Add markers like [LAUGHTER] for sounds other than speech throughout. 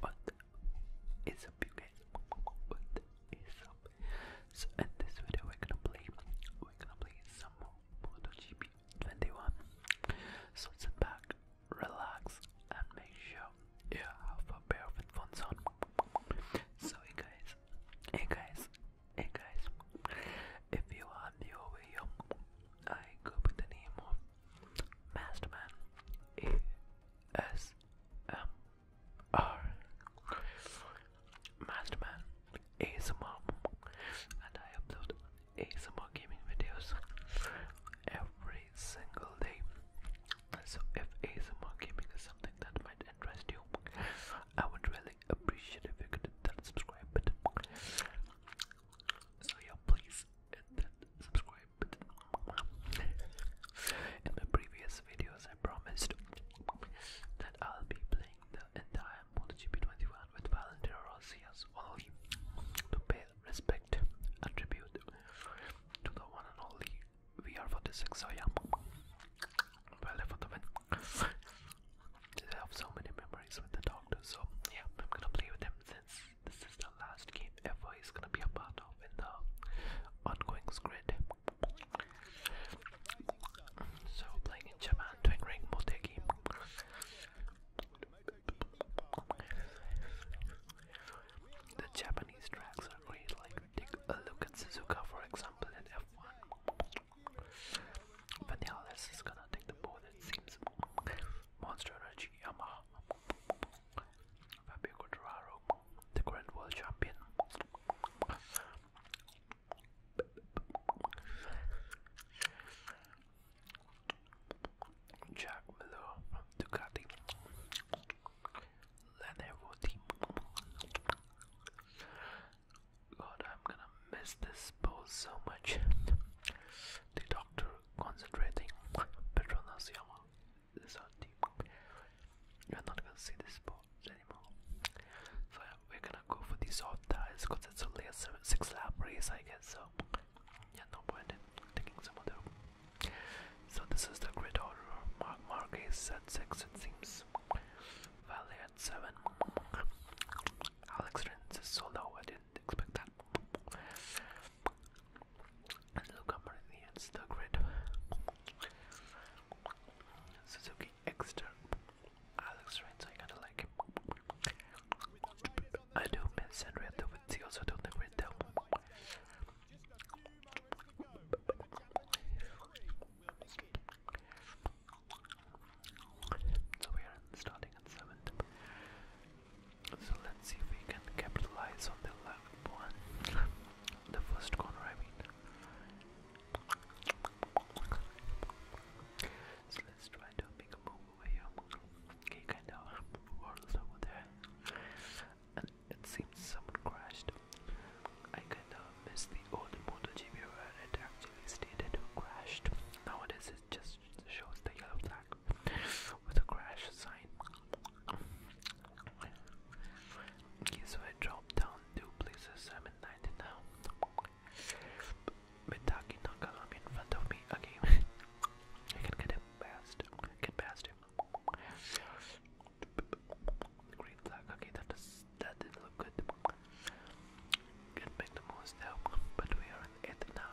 What is up, you guys? What is up? So in this video, we're gonna play. We're gonna play some MotoGP 21. So sit back, relax, and make sure you have a pair of headphones on. So hey guys, hey guys, hey guys. If you are new over here, I go by the name of Masterman ASMR Masterman ASMR and I upload ASMR gaming videos every single day. So if ASMR gaming is something that might interest you, I would really appreciate if you could subscribe So yeah, please subscribe in my previous videos, I promised that I'll be playing the entire MotoGP 21 with Valentino Rossi as well to pay respect and tribute to the one and only VR46. So, yeah, well, for the win. I have so many memories with the doctor, so yeah, I'm gonna play with him since this is the last game ever he's gonna be a part of in the ongoing grid. So playing in Japan, doing ring their game. The Japanese tracks are great, like take a look at Suzuka for example in F1. Vanilla is gonna take the ball, it seems. Monster Energy, Yamaha. Fabio Quattraro, the current world champion. Jack Miller from Ducati. Lenovo team. God, I'm gonna miss this pose so much. The doctor concentrating. Petronas Yama. This our team. You're not gonna see this board anymore. So we're gonna go for the soft tires because it's only a six lap race, I guess. So yeah, no point in taking some other. So this is the grid order. Mark Marquez at six, it seems. Valley at seven. Alex Rins is sold out. I didn't expect that and look up in the end, the grid. Suzuki Exter, Alex ah, Rins, so I kinda like him. I do miss Andrea too, but he also told the grid though. So we are starting at 7th. So let's see if we can capitalize on the left one. [LAUGHS] the first corner, I mean. So let's try to make a move over here. Okay, kind of world over there. And it seems someone crashed. I kind of Missed the old MotoGP where it actually stated who crashed. Nowadays, it just shows the yellow flag with a crash sign. Okay, so I dropped down two places. I'm in 90 now. Mitaki Nakagami in front of me again. [LAUGHS] I can get him past. Get past him. Green flag. Okay, that is that didn't look good. Can make the most help, but we are in it now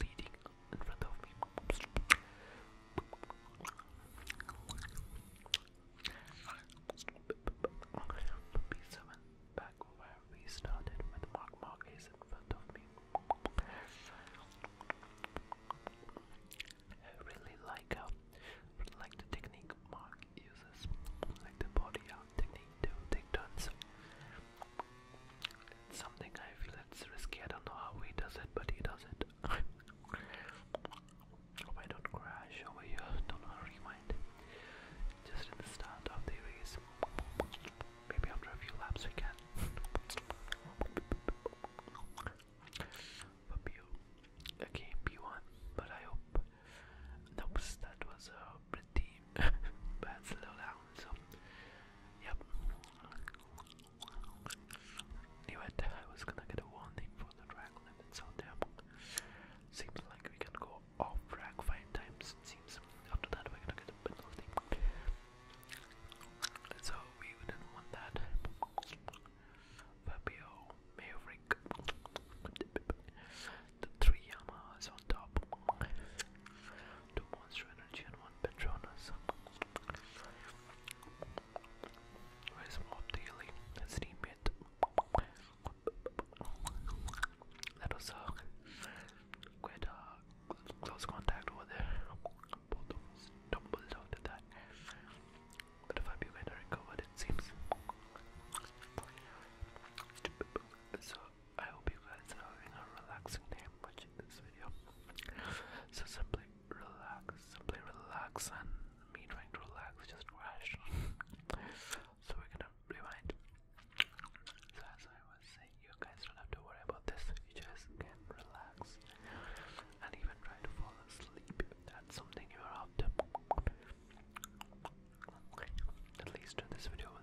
leading in front of me. B7 back where we started with Mark Marquez in front of me. I really like how, like the technique Mark uses, like the body out technique to take turns. It's something I feel it's risky. I don't know how he does it, but he does it. [LAUGHS] Hope I don't crash over here. Don't worry, mind. Just in the start of the race. Maybe after a few laps we can. For P1. But I hope. Nope, that was a pretty [LAUGHS] but slow down. So, yep. Knew I was gonna get a warning for the drag limits out there. Seems like we can go off drag five times. seems after that we're gonna get a penalty. So we didn't want that. Fabio Maverick. The three Yamas on top. Two Monster Energy and one Patronus. Where's Mob Daily? His teammate. That was uh, quite a uh, close contact with there. Both of us stumbled after that. But if I be better recovered, it seems. I hope you guys are having a relaxing day watching this video. So simply relax, simply relax, and me trying to relax just crashed. so we're gonna rewind. So as I was saying, you guys don't have to worry about this. You just can relax and even try to fall asleep if that's something you're after. At least this video will you.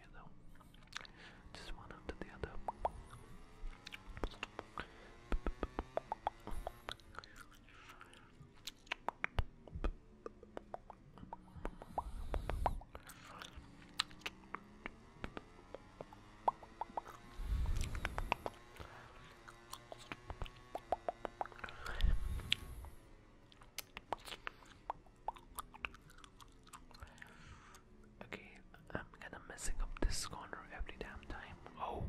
you know, just one after the other. Okay, I'm gonna messing up this corner every damn time. Oh,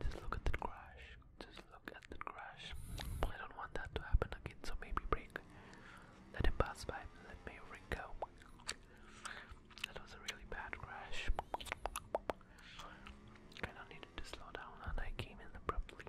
just look at the crash. Just look at the crash. I don't want that to happen again, so maybe break. Let him pass by. Let me go. That was a really bad crash. Kind needed to slow down, and I came in abruptly.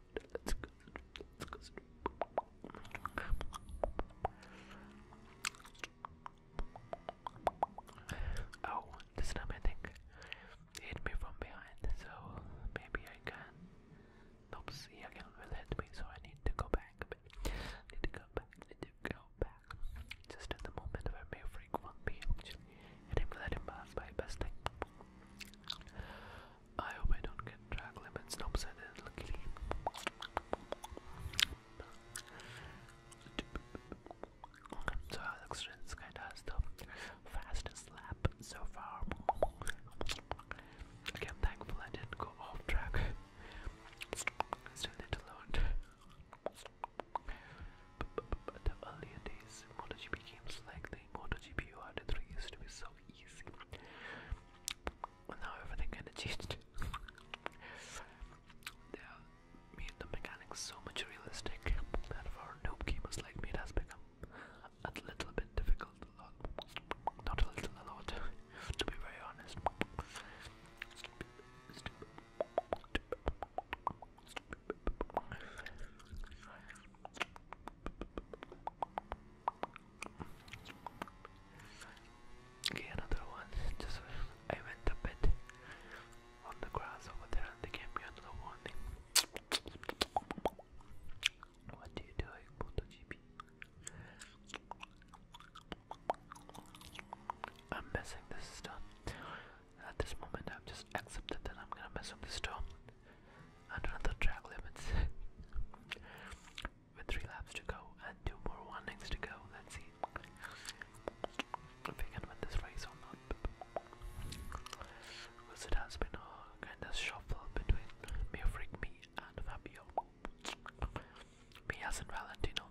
Let's go. Let's go. Oh, this time I think it hit me from behind, so maybe I can. Nope, see again will hit me, so I need to go back a bit. Need to go back, need to go back. Just at the moment where Mayfreak won't be actually. And him let him pass by best thing. I hope I don't get track limits. Nope, I didn't. Luckily. Okay, so Alex the fastest lap so far. Okay, I'm thankful I didn't go off track. Still need to But the earlier days MotoGP games like the MotoGP URD3 used to be so easy now everything kinda changed. [LAUGHS] yeah, made the mechanics so much realistic that for noob gamers like me it has become a little bit difficult, not a little, a lot, [LAUGHS] to be very honest. Okay, another one. Just uh, I went a bit on the grass over there they gave me another warning. What do you do, Puto GP? I'm messing this stuff. At this moment, i am just accepted that I'm gonna mess up this storm. another track limits with three laps to go and two more warnings to go. Let's see if we can win this race or not. Because it has been a kind shuffle between Mufrik, me, and Fabio. Me as Valentino.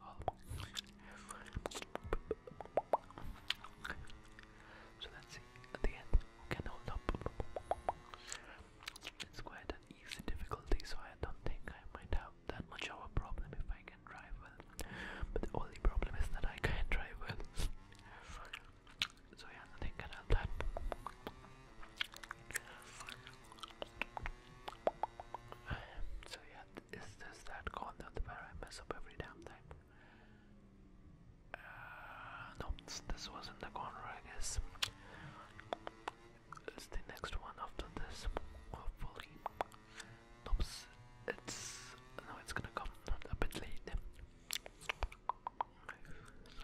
So let's see at the end who can hold up. Let's go easy difficulty, so I don't think I might have that much of a problem if I can drive well. But the only problem is that I can't drive well. so yeah, nothing can help that. So yeah, is this that corner where I mess up every damn time? Uh, no, this wasn't the corner, I guess. It's the next one after this, hopefully. Nope, it's no, it's gonna come a bit late.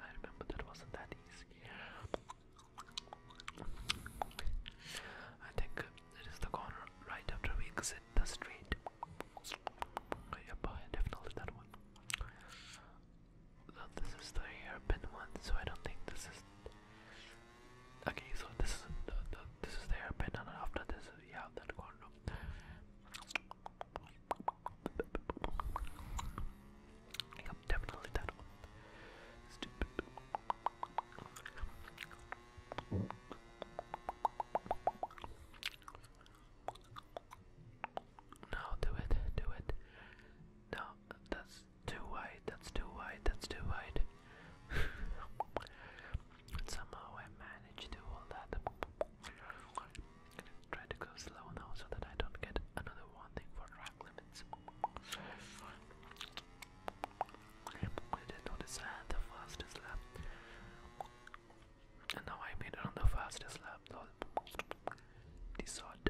I remember that wasn't that easy. I think it is the corner right after we exit the street. Yeah, definitely that one. So this is the hairpin one, so I don't think this is. Okay, so this is the, the this is the hairpin, after this, yeah, have that condom. Yep, definitely that Stupid. No, do it, do it. No, that's too wide, that's too wide, that's too wide. [LAUGHS] somehow I managed to hold that. try to go slow now so that I don't get another warning for track limits. I did notice I had the fastest lap. And now I made it on the fastest lap lol. Dissort.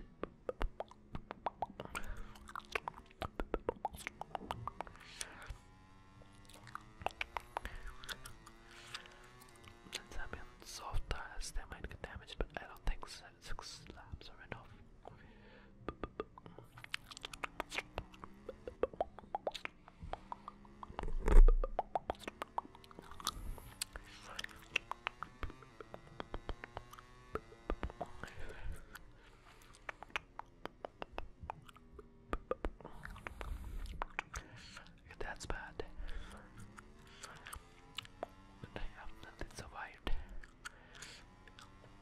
Since I'm in soft tiles, they might get damaged, but I don't think six slabs are enough. That's bad. But I have nothing survived.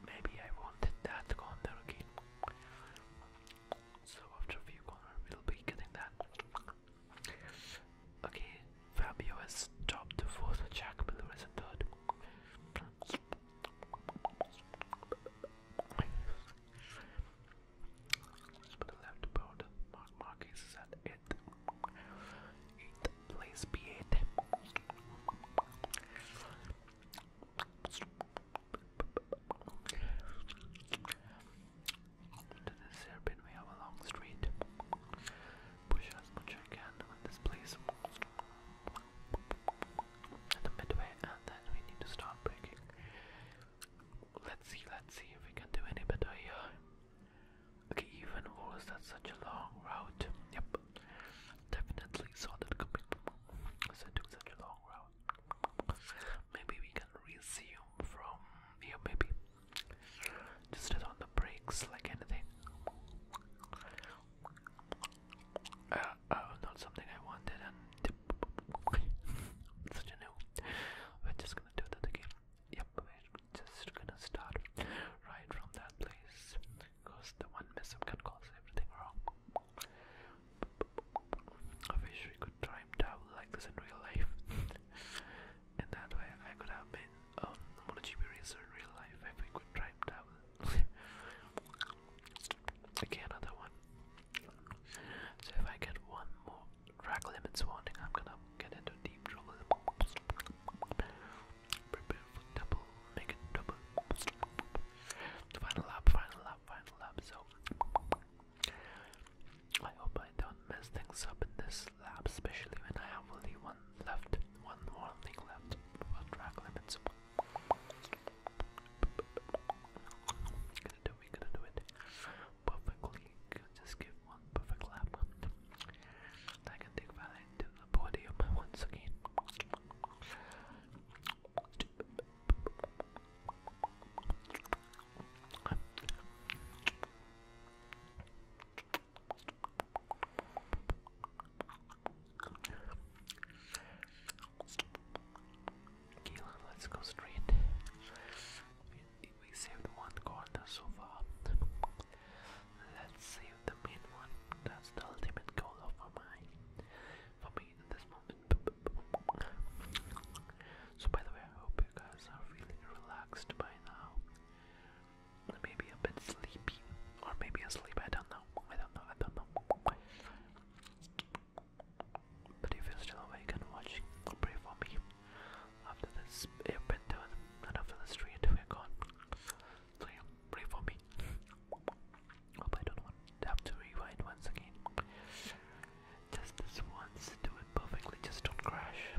Maybe I wanted that corner again. So after a few corners, will be getting that. Okay, Fabio is top the fourth, Jack Miller is in third. But the left board, Mark Marquez is at 8th. 8th place, b to this hairpin we have a long street. Push as much as I can on this place. At the midway and uh, then we need to start breaking. Let's see, let's see if we can do any better here. Okay, even worse, that's such a long route. Yep, definitely saw coming. such a long route. Maybe we can resume from here, maybe. Just as on the brakes, like anything. Uh, oh, not something I wanted, [LAUGHS] such a new. We're just gonna do that again. Yep, we're just gonna start right from that place because the one mess can cause everything wrong. I wish we could time travel like this in real life. [LAUGHS] and that way I could have been um, MotoGP racer in real life if we could drive that one. another one. So if I get one more track limits warning, I'm gonna get into deep trouble. Prepare for double, make it double. Final lap, final lap, final lap. So I hope I don't mess things up in this lab, especially when I have only one left, one more thing left track limits. gonna do, we gonna do it perfectly. Just give one perfect lap. I can take Valentine to the podium once again. Keelan, let's go straight. We, saved one corner so far. Let's save the main one. That's the ultimate goal of mine. For me in this moment. So by the way, I hope you guys are feeling relaxed by now maybe a bit sleepy. Or maybe asleep, I don't know. I don't know, I don't know. But if you're still awake and watching, pray for me. After this, you've been doing enough in the street, we're gone. So pray for me. I don't want to have to rewind once again. Just this once, do it perfectly, just don't crash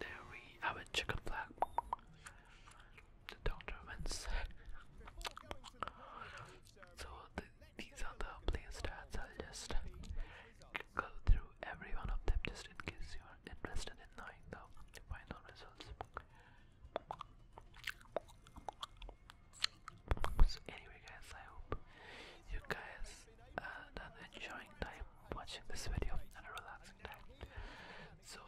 There we have a chicken flag. The doctor wins. so these are the play stats. I'll just go through every one of them just in case you are interested in knowing the final results. So anyway guys, I hope you guys uh, done enjoying time watching this video and a relaxing time. So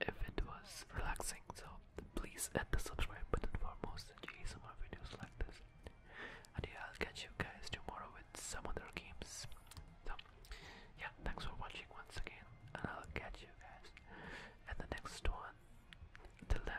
if it was relaxing, so please hit the subscribe button for more most more videos like this. And yeah, I'll catch you guys tomorrow with some other games. So yeah, thanks for watching once again, and I'll catch you guys in the next one. Till then.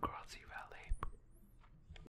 Grassy Valley.